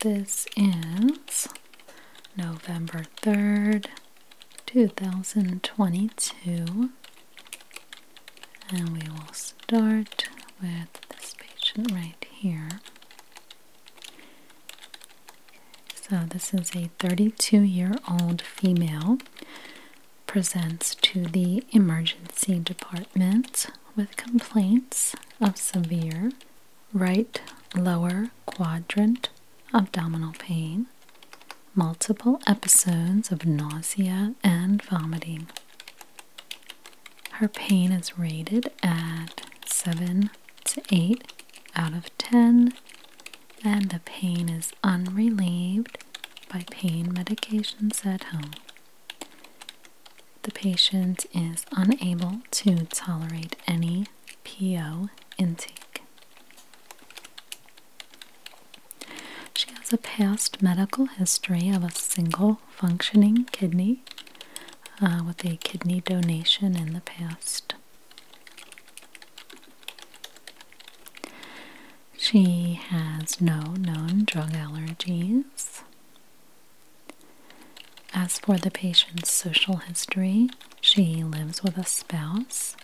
this is November 3rd, 2022. And we will start with this patient right here. So, this is a 32 year old female. Presents to the emergency department with complaints of severe right lower quadrant abdominal pain, multiple episodes of nausea and vomiting. Her pain is rated at 7 to 8 out of 10, and the pain is unrelieved by pain medications at home. The patient is unable to tolerate any PO intake. She has a past medical history of a single functioning kidney uh, with a kidney donation in the past. She has no known drug allergies. As for the patient's social history, she lives with a spouse.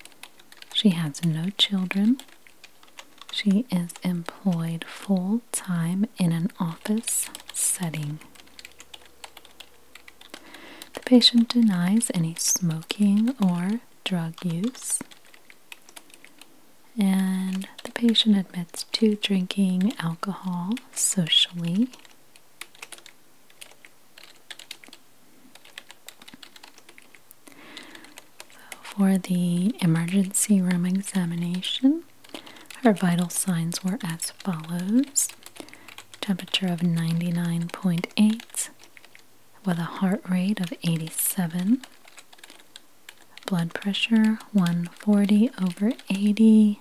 She has no children. She is employed full time in an office setting. The patient denies any smoking or drug use. And the patient admits to drinking alcohol socially so for the emergency room examination, her vital signs were as follows temperature of 99.8 with a heart rate of 87 blood pressure 140 over 80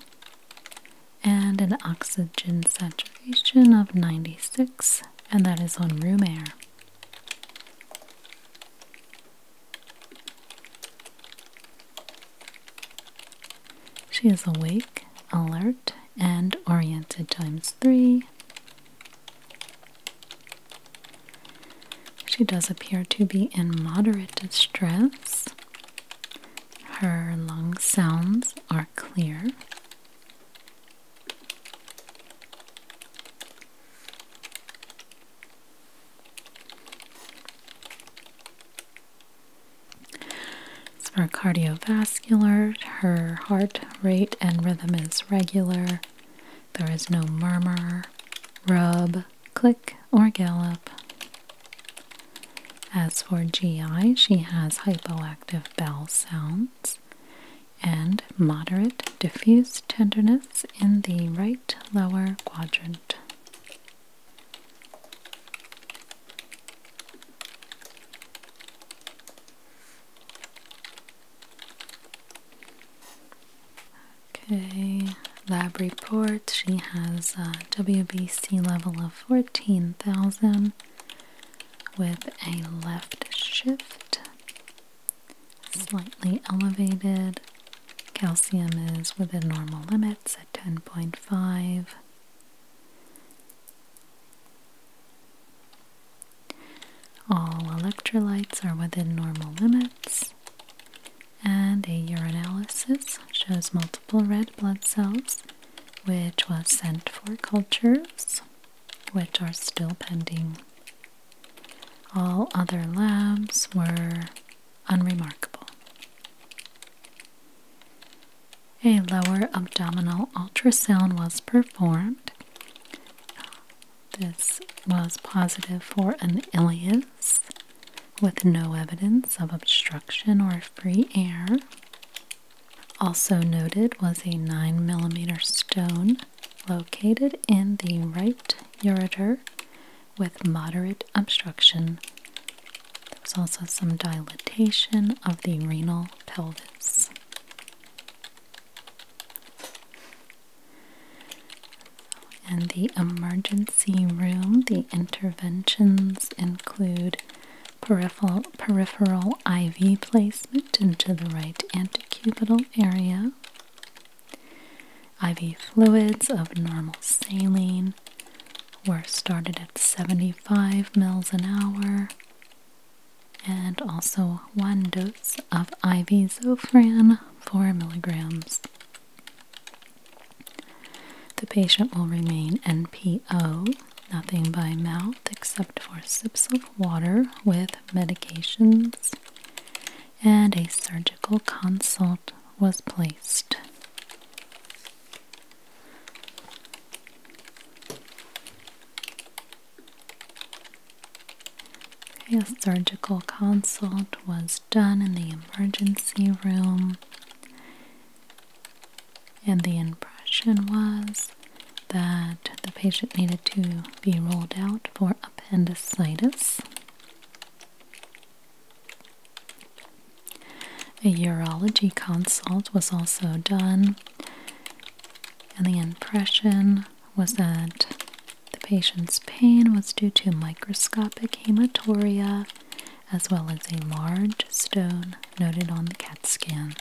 and an oxygen saturation of 96, and that is on room air. She is awake, alert, and oriented times three. She does appear to be in moderate distress her lung sounds are clear. As for cardiovascular, her heart rate and rhythm is regular. There is no murmur, rub, click, or gallop. As for GI, she has hypoactive bowel sounds and moderate diffuse tenderness in the right lower quadrant. Okay, lab report. She has a WBC level of 14,000 with a left shift. Slightly elevated. Calcium is within normal limits at 10.5. All electrolytes are within normal limits. And a urinalysis shows multiple red blood cells which was sent for cultures, which are still pending. All other labs were unremarkable. A lower abdominal ultrasound was performed. This was positive for an ileus, with no evidence of obstruction or free air. Also noted was a 9mm stone located in the right ureter with moderate obstruction. There was also some dilatation of the renal pelvis. In the emergency room, the interventions include peripheral, peripheral IV placement into the right antecubital area, IV fluids of normal saline were started at 75 mL an hour, and also one dose of IV Zofran, 4 milligrams. The patient will remain NPO, nothing by mouth except for sips of water with medications, and a surgical consult was placed. A surgical consult was done in the emergency room, and the impression was that the patient needed to be rolled out for appendicitis. A urology consult was also done, and the impression was that the patient's pain was due to microscopic hematuria as well as a large stone noted on the CAT scan.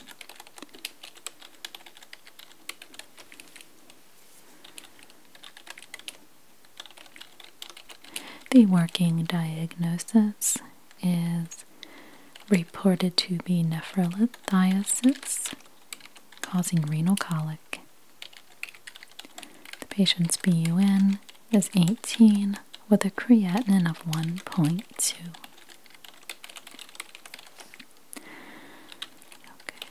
The working diagnosis is reported to be nephrolithiasis causing renal colic. The patient's BUN is 18 with a creatinine of 1.2. Okay.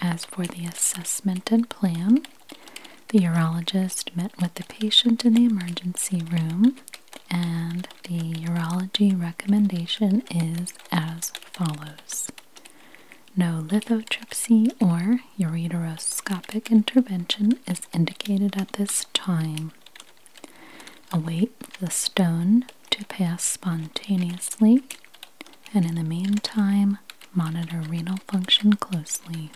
as for the assessment and plan, the urologist met with the patient in the emergency room, and the urology recommendation is as follows no lithotripsy or Further ureteroscopic intervention is indicated at this time. Await the stone to pass spontaneously, and in the meantime, monitor renal function closely.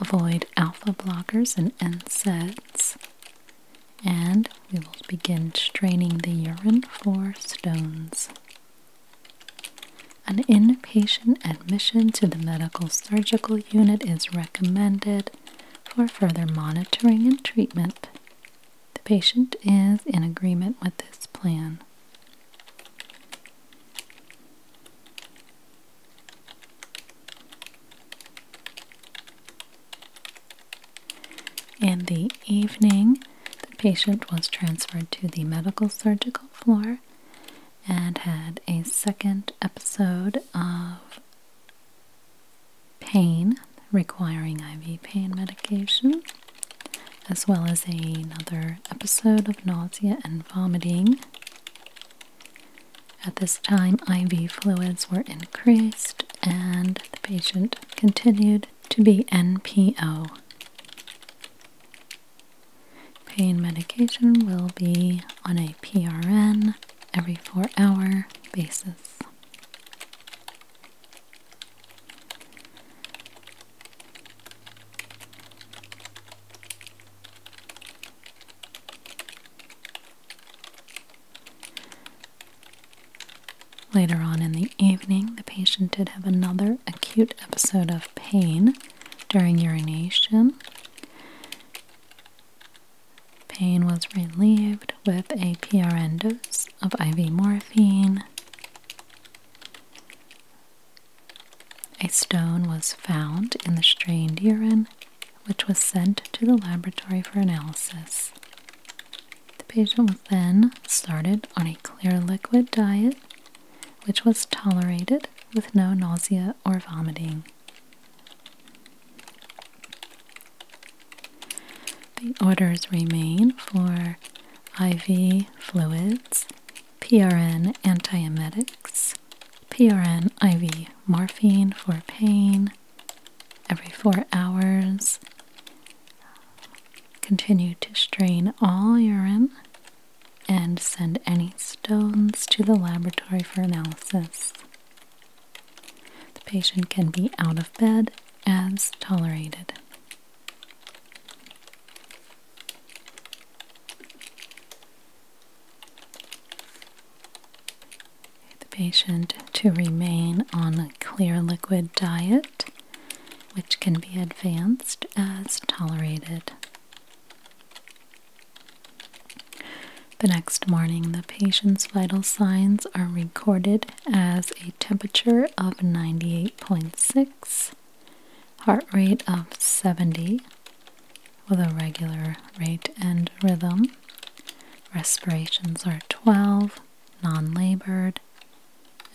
Avoid alpha blockers and NSAIDs, and we will begin straining the urine for stones. An inpatient admission to the medical surgical unit is recommended for further monitoring and treatment. The patient is in agreement with this plan. In the evening, the patient was transferred to the medical surgical floor and had a second episode of pain requiring IV pain medication, as well as another episode of nausea and vomiting. At this time, IV fluids were increased and the patient continued to be NPO. Pain medication will be on a PRN every four hour basis. Later on in the evening, the patient did have another acute episode of pain during urination. Pain was relieved with a PRN dose of IV morphine. A stone was found in the strained urine, which was sent to the laboratory for analysis. The patient was then started on a clear liquid diet which was tolerated with no nausea or vomiting. The orders remain for IV fluids, PRN antiemetics, PRN IV morphine for pain every four hours. Continue to strain all urine and send any stones to the laboratory for analysis. The patient can be out of bed as tolerated. The patient to remain on a clear liquid diet, which can be advanced as tolerated. The next morning, the patient's vital signs are recorded as a temperature of 98.6, heart rate of 70 with a regular rate and rhythm, respirations are 12, non labored,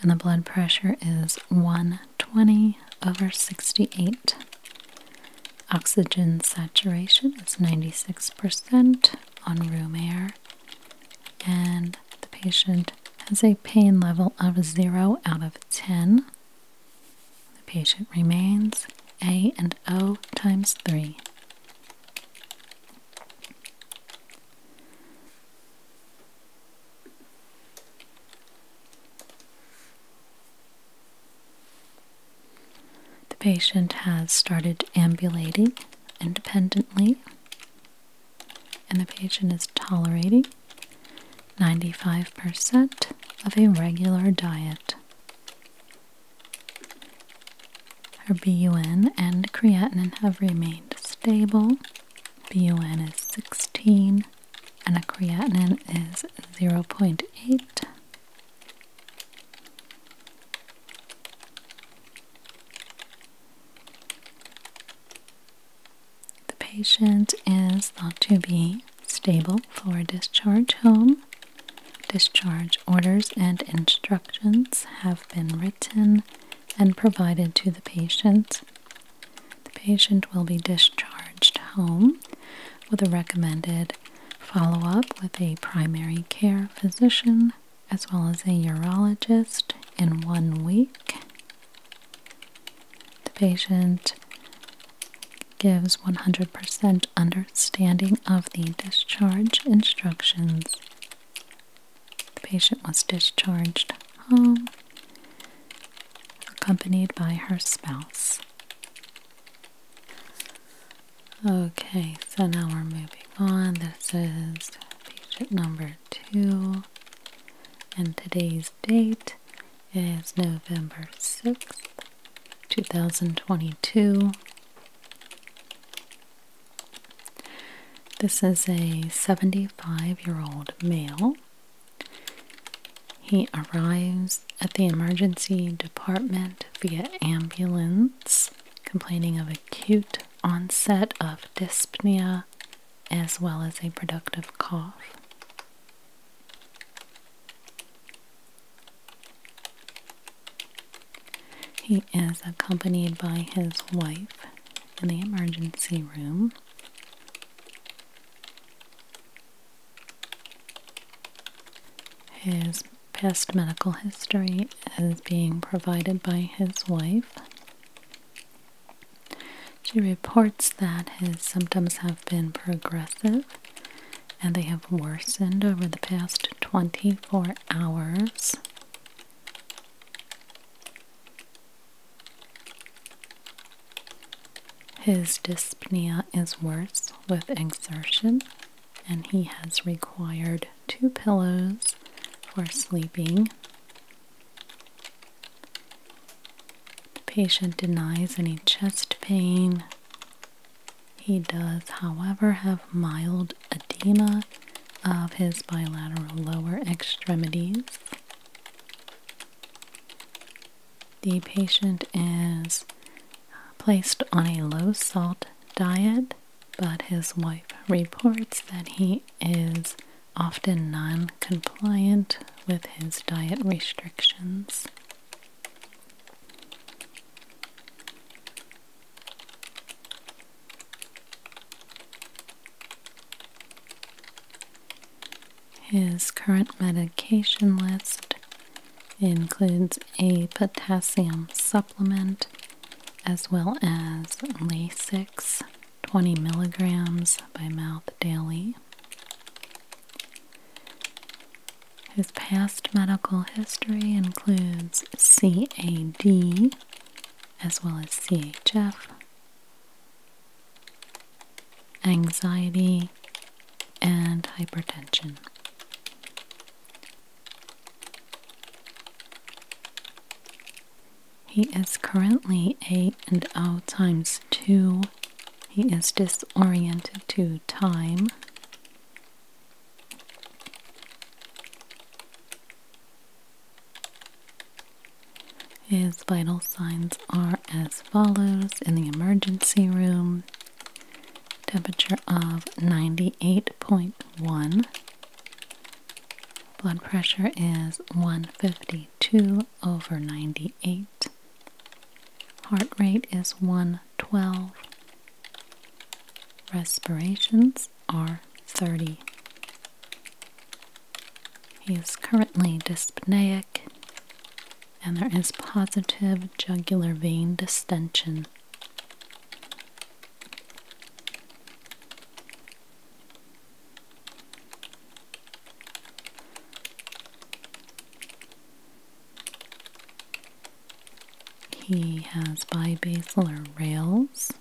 and the blood pressure is 120 over 68. Oxygen saturation is 96% on room air, and the patient has a pain level of 0 out of 10. The patient remains A and O times 3. The patient has started ambulating independently, and the patient is tolerating 95% of a regular diet. Her BUN and creatinine have remained stable. BUN is 16 and a creatinine is 0.8. The patient is thought to be stable for discharge home. Discharge orders and instructions have been written and provided to the patient the patient will be discharged home with a recommended follow up with a primary care physician as well as a urologist in one week. The patient gives 100% understanding of the discharge instructions. The patient was discharged home accompanied by her spouse. Okay, so now we're moving on. This is page number two, and today's date is November 6th, 2022. This is a 75 year old male he arrives at the emergency department via ambulance, complaining of acute onset of dyspnea as well as a productive cough. He is accompanied by his wife in the emergency room. His past medical history is being provided by his wife. She reports that his symptoms have been progressive and they have worsened over the past 24 hours. His dyspnea is worse with exertion, and he has required two pillows for sleeping. The patient denies any chest pain. He does, however, have mild edema of his bilateral lower extremities. The patient is placed on a low salt diet, but his wife reports that he is often non compliant with his diet restrictions. His current medication list includes a potassium supplement as well as Lasix 20 milligrams by mouth daily. His past medical history includes CAD as well as CHF, anxiety, and hypertension. He is currently A and O oh times 2. He is disoriented to time. His vital signs are as follows in the emergency room temperature of 98.1 blood pressure is 152 over 98 heart rate is 112 respirations are 30 he is currently dyspneic and there is positive jugular vein distension. He has bibasilar rails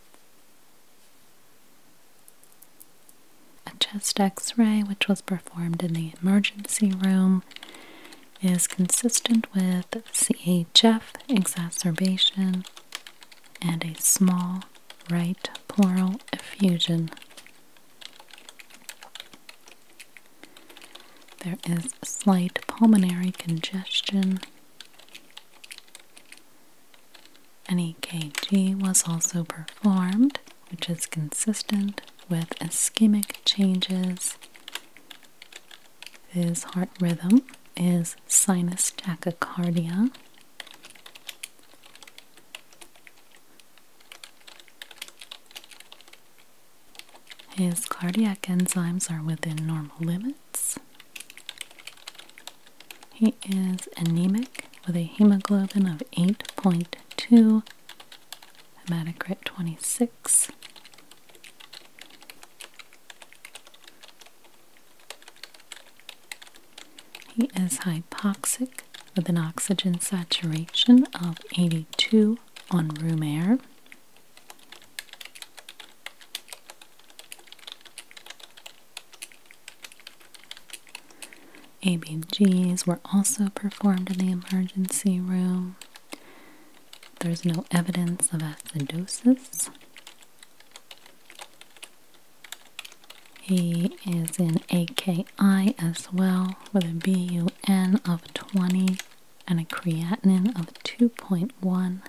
a chest x ray, which was performed in the emergency room, is consistent with CHF exacerbation and a small right pleural effusion. There is slight pulmonary congestion. An EKG was also performed which is consistent with ischemic changes. His heart rhythm is sinus tachycardia. His cardiac enzymes are within normal limits. He is anemic with a hemoglobin of 8.2 i at a grit 26. He is hypoxic with an oxygen saturation of 82 on room air. ABGs were also performed in the emergency room. There's no evidence of acidosis. He is in AKI as well, with a BUN of 20 and a creatinine of 2.1.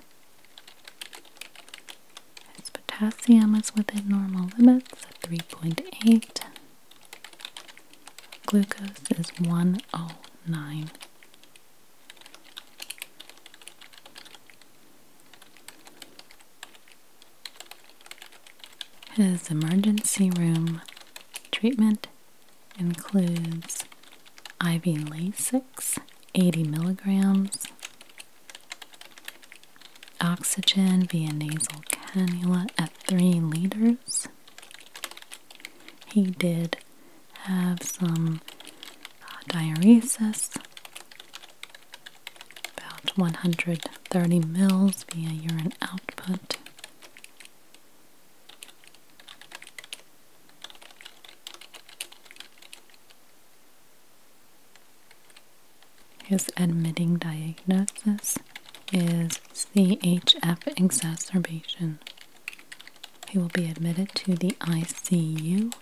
His potassium is within normal limits at 3.8. Glucose is 109. His emergency room treatment includes IV Lasix, 80 milligrams, oxygen via nasal cannula at 3 liters, he did have some uh, diuresis, about 130 mils via urine output. His admitting diagnosis is CHF exacerbation. He will be admitted to the ICU.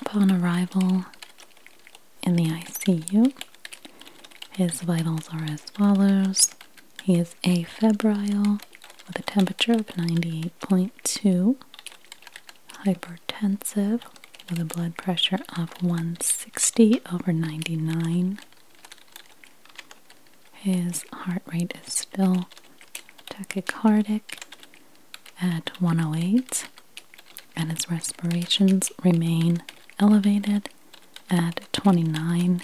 Upon arrival in the ICU, his vitals are as follows he is afebrile with a temperature of 98.2, hypertensive with a blood pressure of 160 over 99. His heart rate is still tachycardic at 108, and his respirations remain elevated at 29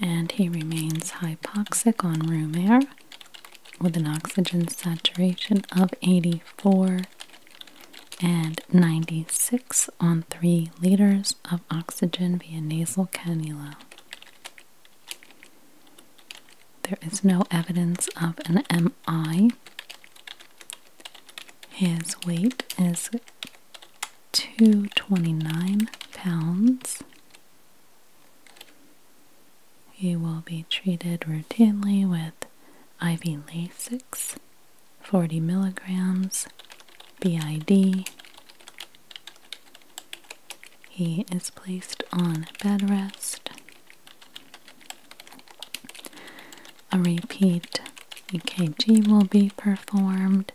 and he remains hypoxic on room air with an oxygen saturation of 84 and 96 on 3 liters of oxygen via nasal cannula. There is no evidence of an MI. His weight is 229 pounds. He will be treated routinely with IV Lasix, 40 milligrams, BID. He is placed on bed rest a repeat EKG will be performed,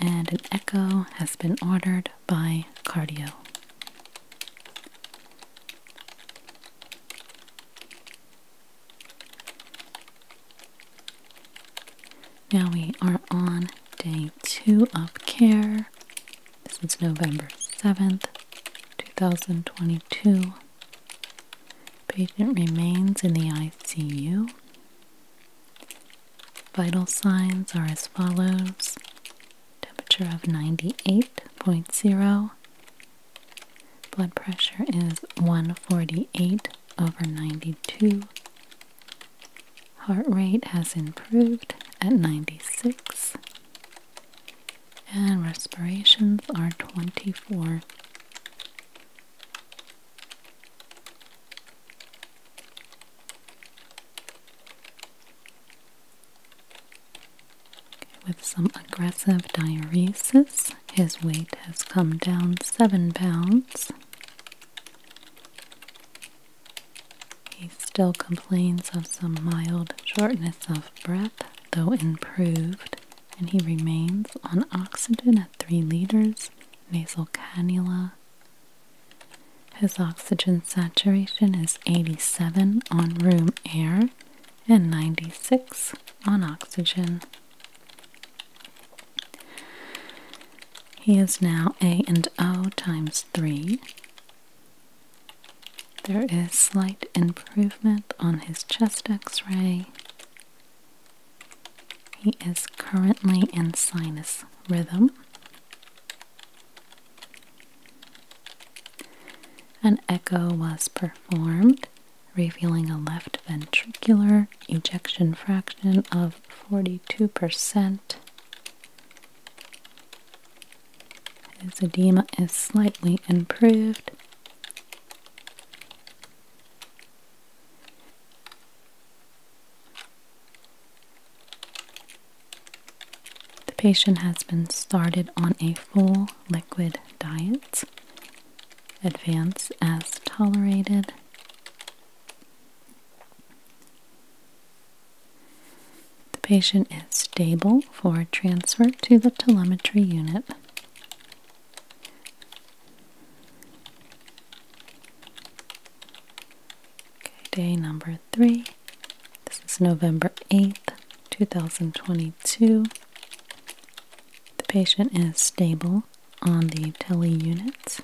and an echo has been ordered by cardio. Now we are on day two of care. This is November 7th, 2022. Patient remains in the ICU. Vital signs are as follows temperature of 98.0, blood pressure is 148 over 92, heart rate has improved at 96 and respirations are 24. With some aggressive diuresis, his weight has come down seven pounds. He still complains of some mild shortness of breath though improved, and he remains on oxygen at 3 liters nasal cannula. His oxygen saturation is 87 on room air and 96 on oxygen. He is now A and O times 3. There is slight improvement on his chest x ray. He is currently in sinus rhythm. An echo was performed, revealing a left ventricular ejection fraction of 42%. His edema is slightly improved, the patient has been started on a full liquid diet, advance as tolerated. The patient is stable for transfer to the telemetry unit. Okay, day number three. This is November 8th, 2022. The patient is stable on the tele unit.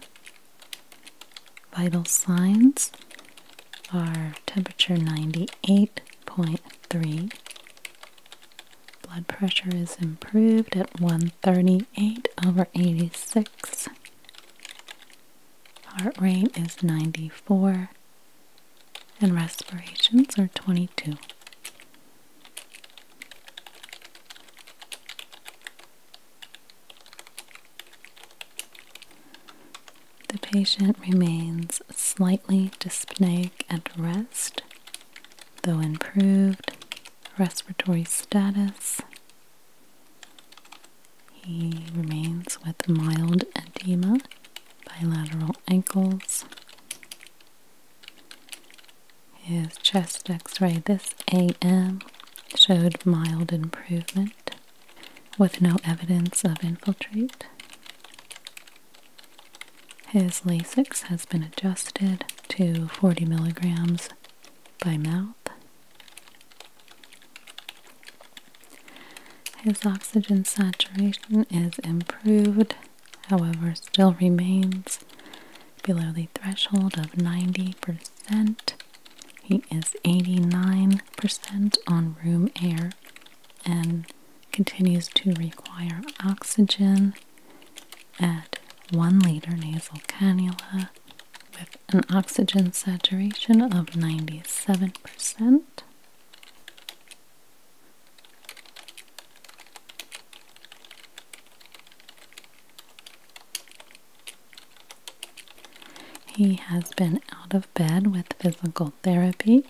Vital signs are temperature 98.3, Blood pressure is improved at 138 over 86. Heart rate is 94 and respirations are 22. The patient remains slightly dyspneic at rest though improved respiratory status. He remains with mild edema, bilateral ankles. His chest x ray this AM showed mild improvement with no evidence of infiltrate. His Lasix has been adjusted to 40 milligrams by mouth. His oxygen saturation is improved, however, still remains below the threshold of 90%. He is 89% on room air and continues to require oxygen at 1 liter nasal cannula with an oxygen saturation of 97%. He has been out of bed with physical therapy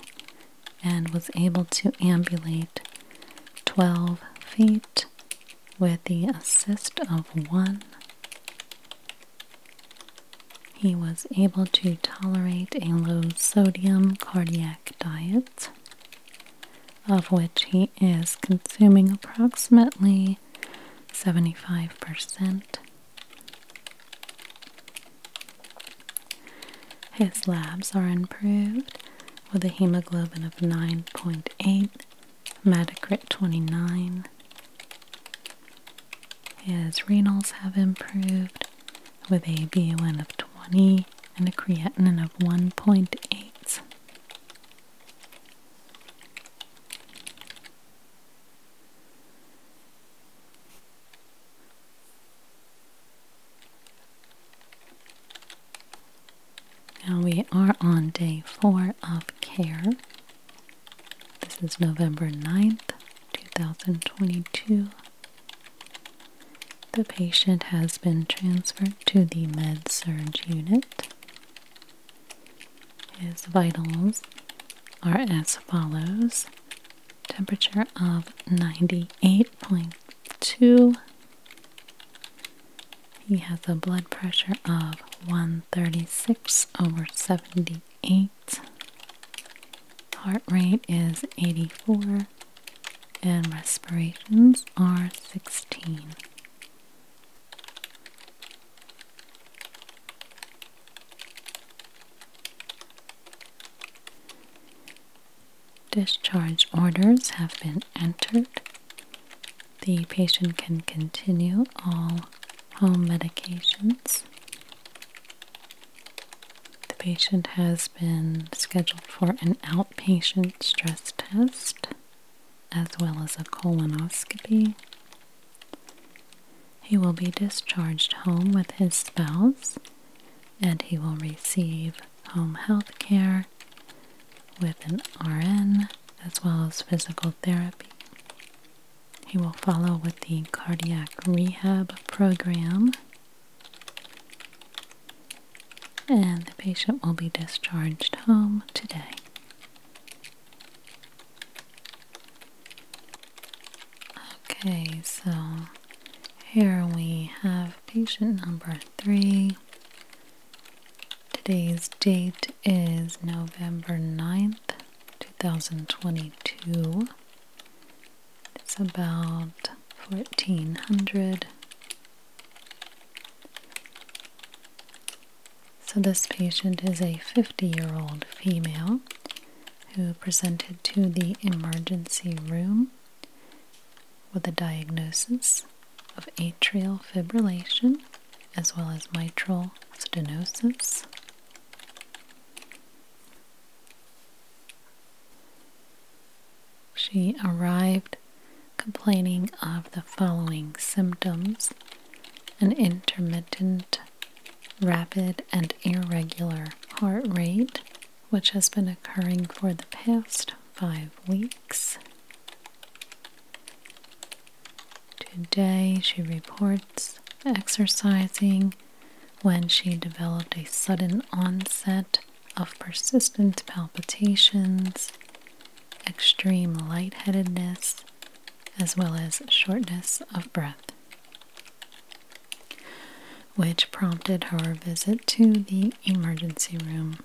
and was able to ambulate 12 feet with the assist of one. He was able to tolerate a low sodium cardiac diet, of which he is consuming approximately 75%. His labs are improved with a hemoglobin of 9.8, Metacrit 29. His renals have improved with a BUN of 20 and a creatinine of 1.8. Now we are on day four of care. This is November 9th, 2022. The patient has been transferred to the med surge unit. His vitals are as follows temperature of 98.2. He has a blood pressure of 136 over 78. Heart rate is 84 and respirations are 16. Discharge orders have been entered. The patient can continue all home medications. The patient has been scheduled for an outpatient stress test as well as a colonoscopy. He will be discharged home with his spouse and he will receive home health care with an RN as well as physical therapy. He will follow with the cardiac rehab program, and the patient will be discharged home today. Okay, so here we have patient number three. Today's date is November 9th, 2022. It's about 1400. So, this patient is a 50 year old female who presented to the emergency room with a diagnosis of atrial fibrillation as well as mitral stenosis. She arrived complaining of the following symptoms an intermittent, rapid, and irregular heart rate, which has been occurring for the past five weeks. Today, she reports exercising when she developed a sudden onset of persistent palpitations, extreme lightheadedness, as well as shortness of breath which prompted her visit to the emergency room.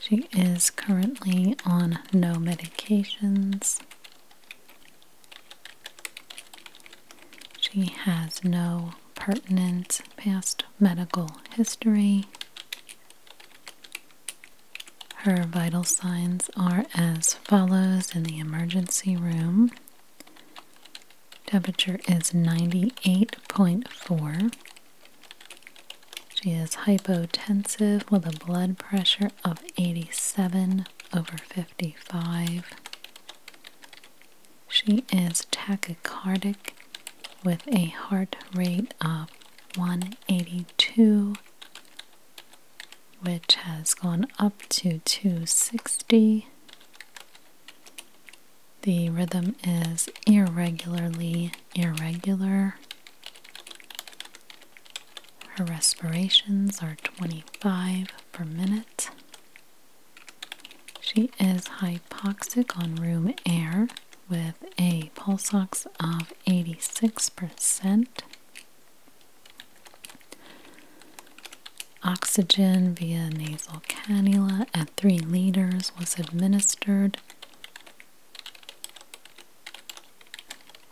She is currently on no medications. She has no pertinent past medical history. Her vital signs are as follows in the emergency room Temperature is 98.4. She is hypotensive with a blood pressure of 87 over 55. She is tachycardic with a heart rate of 182, which has gone up to 260. The rhythm is irregularly irregular. Her respirations are 25 per minute. She is hypoxic on room air with a pulse ox of 86%. Oxygen via nasal cannula at 3 liters was administered,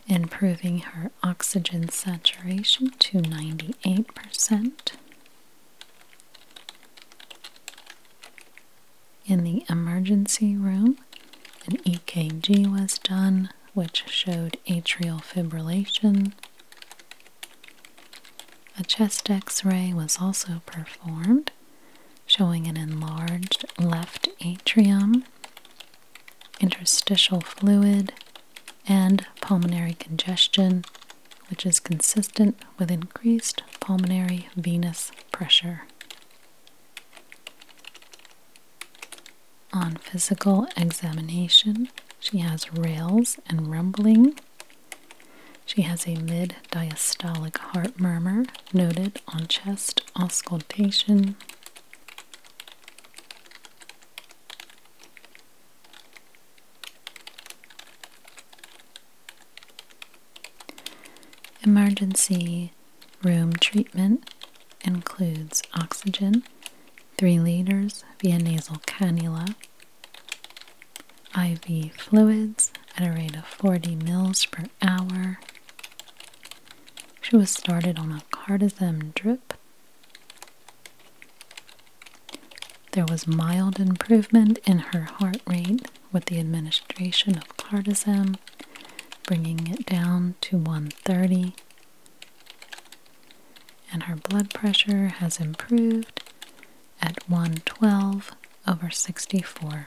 improving her oxygen saturation to 98%. In the emergency room, an EKG was done, which showed atrial fibrillation. A chest x ray was also performed, showing an enlarged left atrium, interstitial fluid, and pulmonary congestion, which is consistent with increased pulmonary venous pressure. On physical examination, she has rails and rumbling she has a mid diastolic heart murmur noted on chest auscultation. Emergency room treatment includes oxygen, 3 liters via nasal cannula, IV fluids at a rate of 40 mils per hour. She was started on a cardizem drip. There was mild improvement in her heart rate with the administration of cardizem, bringing it down to 130. And her blood pressure has improved at 1:12 over 64.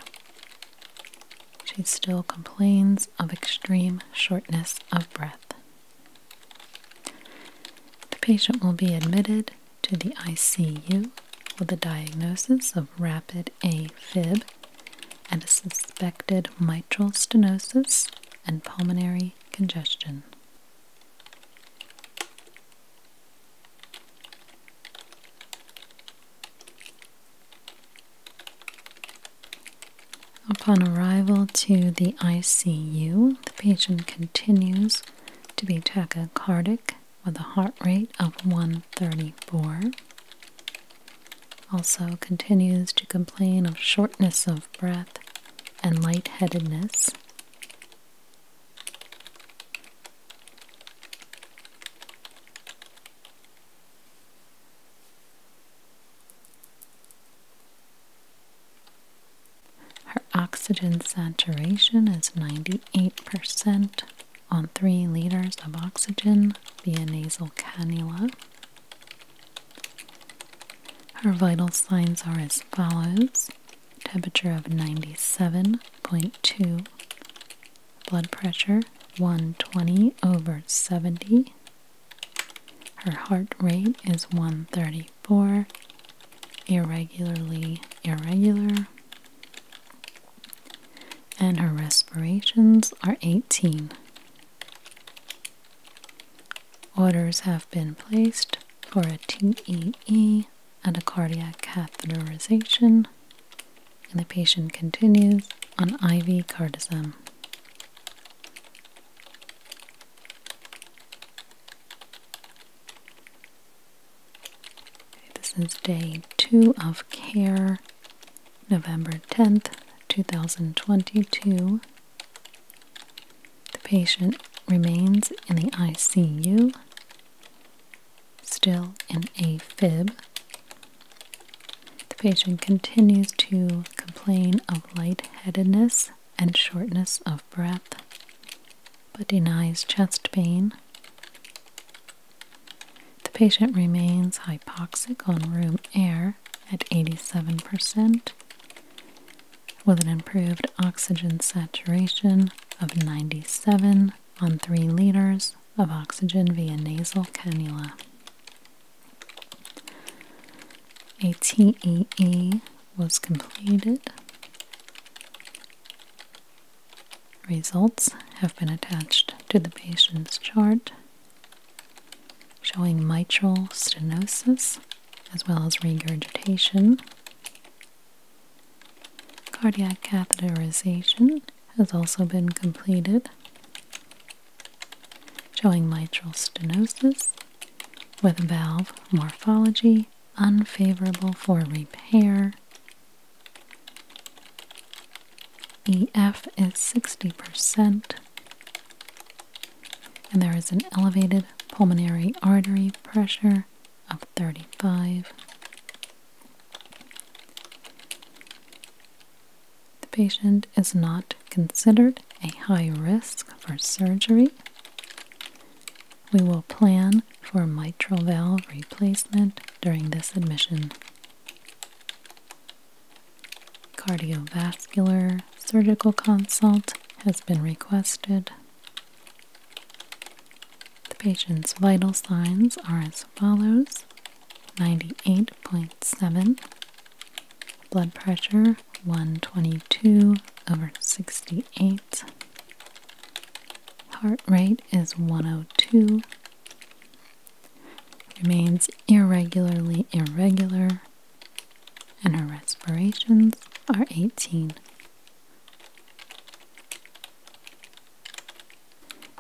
She still complains of extreme shortness of breath. The patient will be admitted to the ICU with a diagnosis of rapid AFib and a suspected mitral stenosis and pulmonary congestion. Upon arrival to the ICU, the patient continues to be tachycardic with a heart rate of 134. Also continues to complain of shortness of breath and lightheadedness. Her oxygen saturation is 98% on 3 liters of oxygen via nasal cannula. Her vital signs are as follows temperature of 97.2, blood pressure 120 over 70. Her heart rate is 134, irregularly irregular, and her respirations are 18. Orders have been placed for a TEE and a cardiac catheterization, and the patient continues on IV cardizem. This is day two of care, November 10th, 2022. The patient remains in the ICU, still in AFib. The patient continues to complain of lightheadedness and shortness of breath, but denies chest pain. The patient remains hypoxic on room air at 87% with an improved oxygen saturation of 97 on 3 liters of oxygen via nasal cannula. A TEE was completed. Results have been attached to the patient's chart showing mitral stenosis as well as regurgitation Cardiac catheterization has also been completed, showing mitral stenosis with valve morphology unfavorable for repair. EF is 60%, and there is an elevated pulmonary artery pressure of 35. The patient is not considered a high risk for surgery. We will plan for mitral valve replacement during this admission. Cardiovascular surgical consult has been requested. The patient's vital signs are as follows 98.7, blood pressure 122 over 68, heart rate is 102, remains irregularly irregular, and her respirations are 18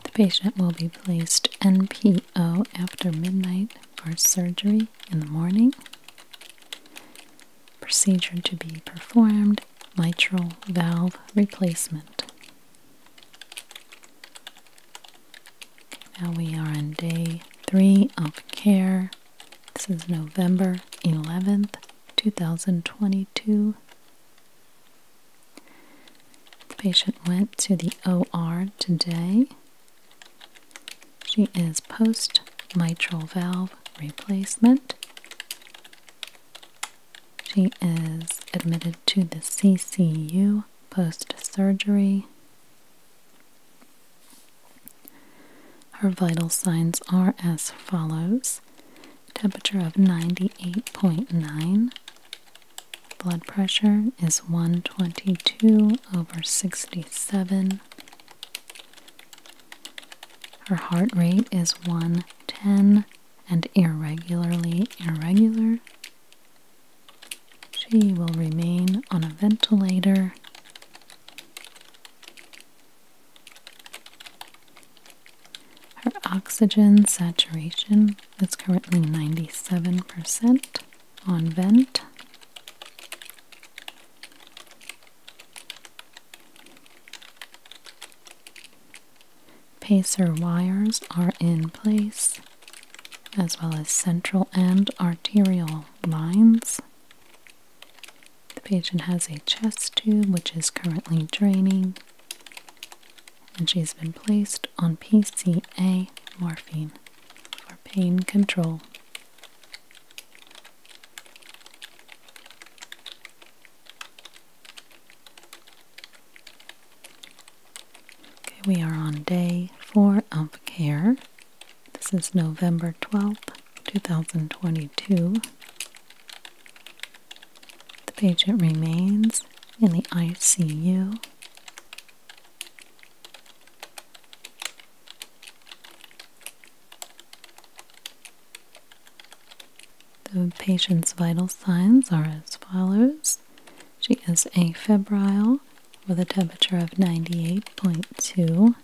the patient will be placed NPO after midnight for surgery in the morning. Procedure to be performed mitral valve replacement. Now we are on day three of care. This is November 11th, 2022. patient went to the OR today. She is post mitral valve replacement. She is admitted to the CCU post surgery. Her vital signs are as follows temperature of 98.9, blood pressure is 122 over 67. Her heart rate is 110 and irregularly irregular. She will remain on a ventilator. Her oxygen saturation is currently 97% on vent. Pacer wires are in place, as well as central and arterial lines the patient has a chest tube which is currently draining, and she's been placed on PCA morphine for pain control. Okay, we are on day four of care. This is November 12th. 2022. The patient remains in the ICU. The patient's vital signs are as follows. She is afebrile with a temperature of 98.2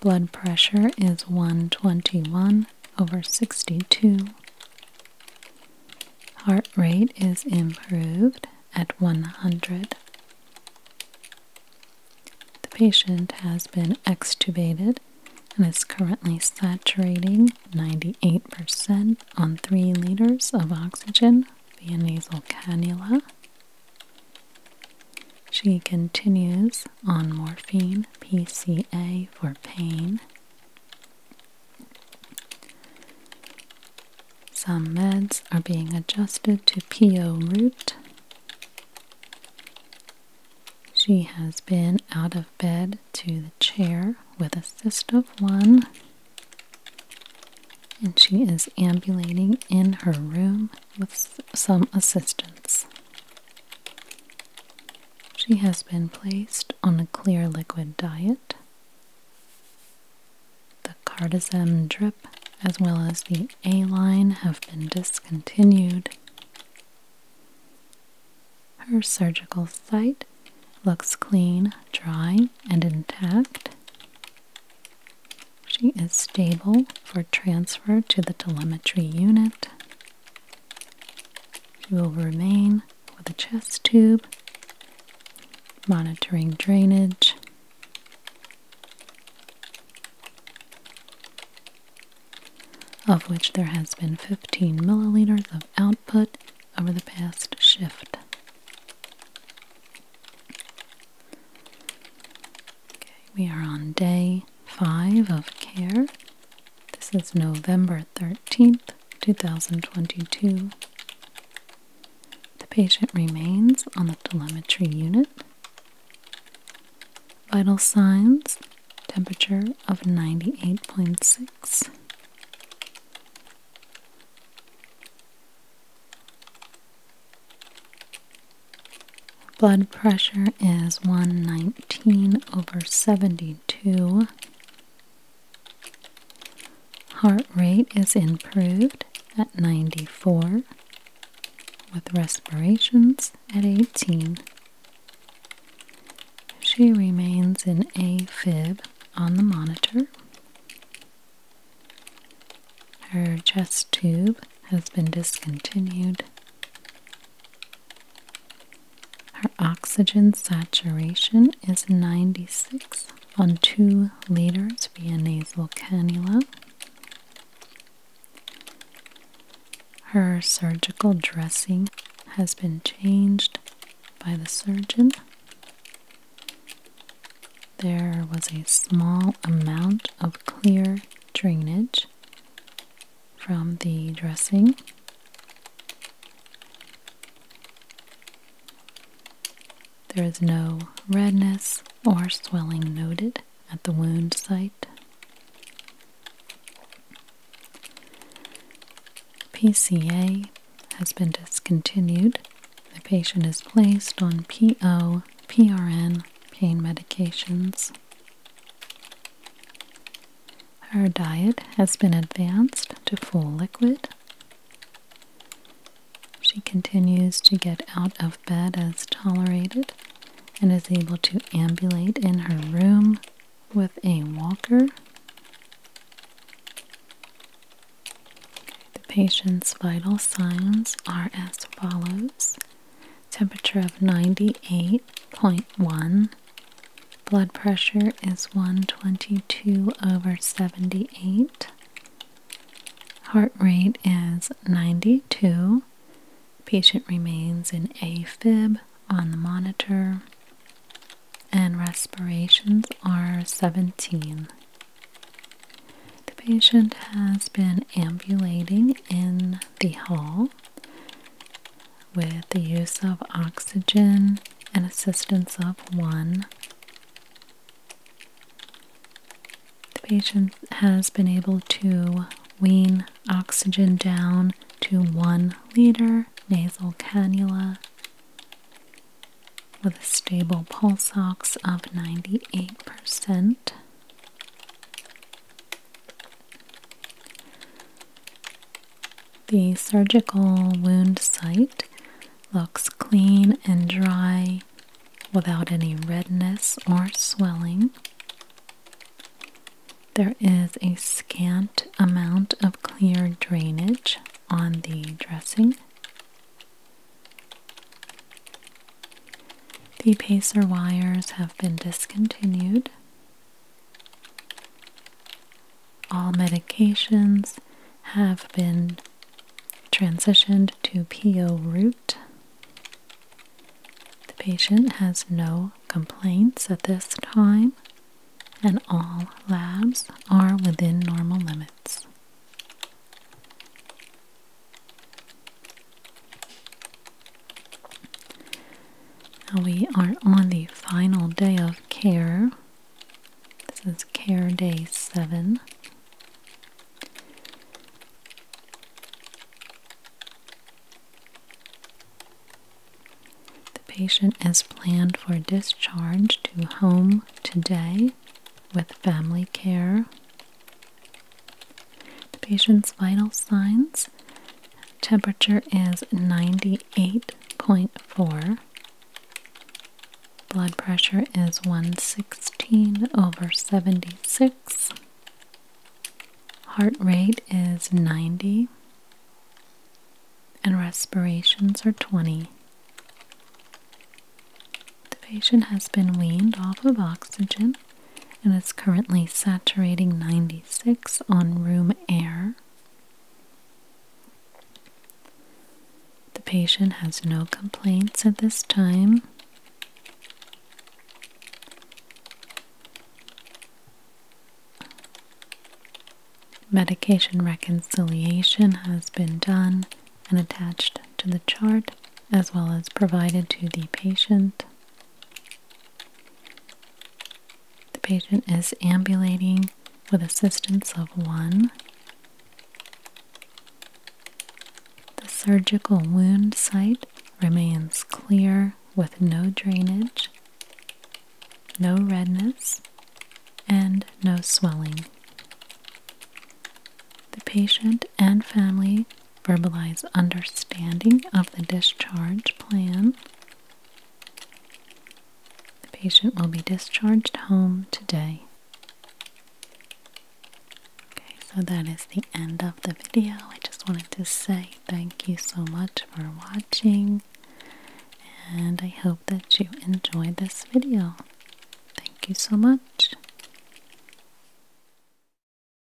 Blood pressure is 121 over 62. Heart rate is improved at 100. The patient has been extubated and is currently saturating 98% on 3 liters of oxygen via nasal cannula she continues on morphine PCA for pain. Some meds are being adjusted to PO route. She has been out of bed to the chair with a of one, and she is ambulating in her room with some assistance. She has been placed on a clear liquid diet. The Cardizem drip as well as the A line have been discontinued. Her surgical site looks clean, dry, and intact. She is stable for transfer to the telemetry unit. She will remain with a chest tube, monitoring drainage. Of which there has been 15 milliliters of output over the past shift. Okay, we are on day five of care. This is November 13th, 2022. The patient remains on the telemetry unit. Vital signs temperature of 98.6. Blood pressure is 119 over 72. Heart rate is improved at 94, with respirations at 18. She remains in AFib on the monitor. Her chest tube has been discontinued. Her oxygen saturation is 96 on 2 liters via nasal cannula. Her surgical dressing has been changed by the surgeon. There was a small amount of clear drainage from the dressing. There is no redness or swelling noted at the wound site. PCA has been discontinued. The patient is placed on PO, PRN pain medications our diet has been advanced to full liquid. She continues to get out of bed as tolerated and is able to ambulate in her room with a walker. The patient's vital signs are as follows temperature of 98.1. Blood pressure is 122 over 78. Heart rate is 92. Patient remains in AFib on the monitor. And respirations are 17. The patient has been ambulating in the hall with the use of oxygen and assistance of one. The patient has been able to wean oxygen down to one liter nasal cannula with a stable pulse ox of 98%. The surgical wound site looks clean and dry without any redness or swelling. There is a scant amount of clear drainage on the dressing. The pacer wires have been discontinued. All medications have been transitioned to PO route. The patient has no complaints at this time, and all labs are within normal limits we are on the final day of care. This is care day seven. The patient is planned for discharge to home today with family care the patient's vital signs temperature is 98.4, blood pressure is 116 over 76, heart rate is 90, and respirations are 20. The patient has been weaned off of oxygen and it's currently saturating 96 on room air. The patient has no complaints at this time. Medication reconciliation has been done and attached to the chart as well as provided to the patient. The patient is ambulating with assistance of one. The surgical wound site remains clear with no drainage, no redness, and no swelling. The patient and family verbalize understanding of the discharge plan. The patient will be discharged home today. Okay, so that is the end of the video. I just wanted to say thank you so much for watching, and I hope that you enjoyed this video. Thank you so much.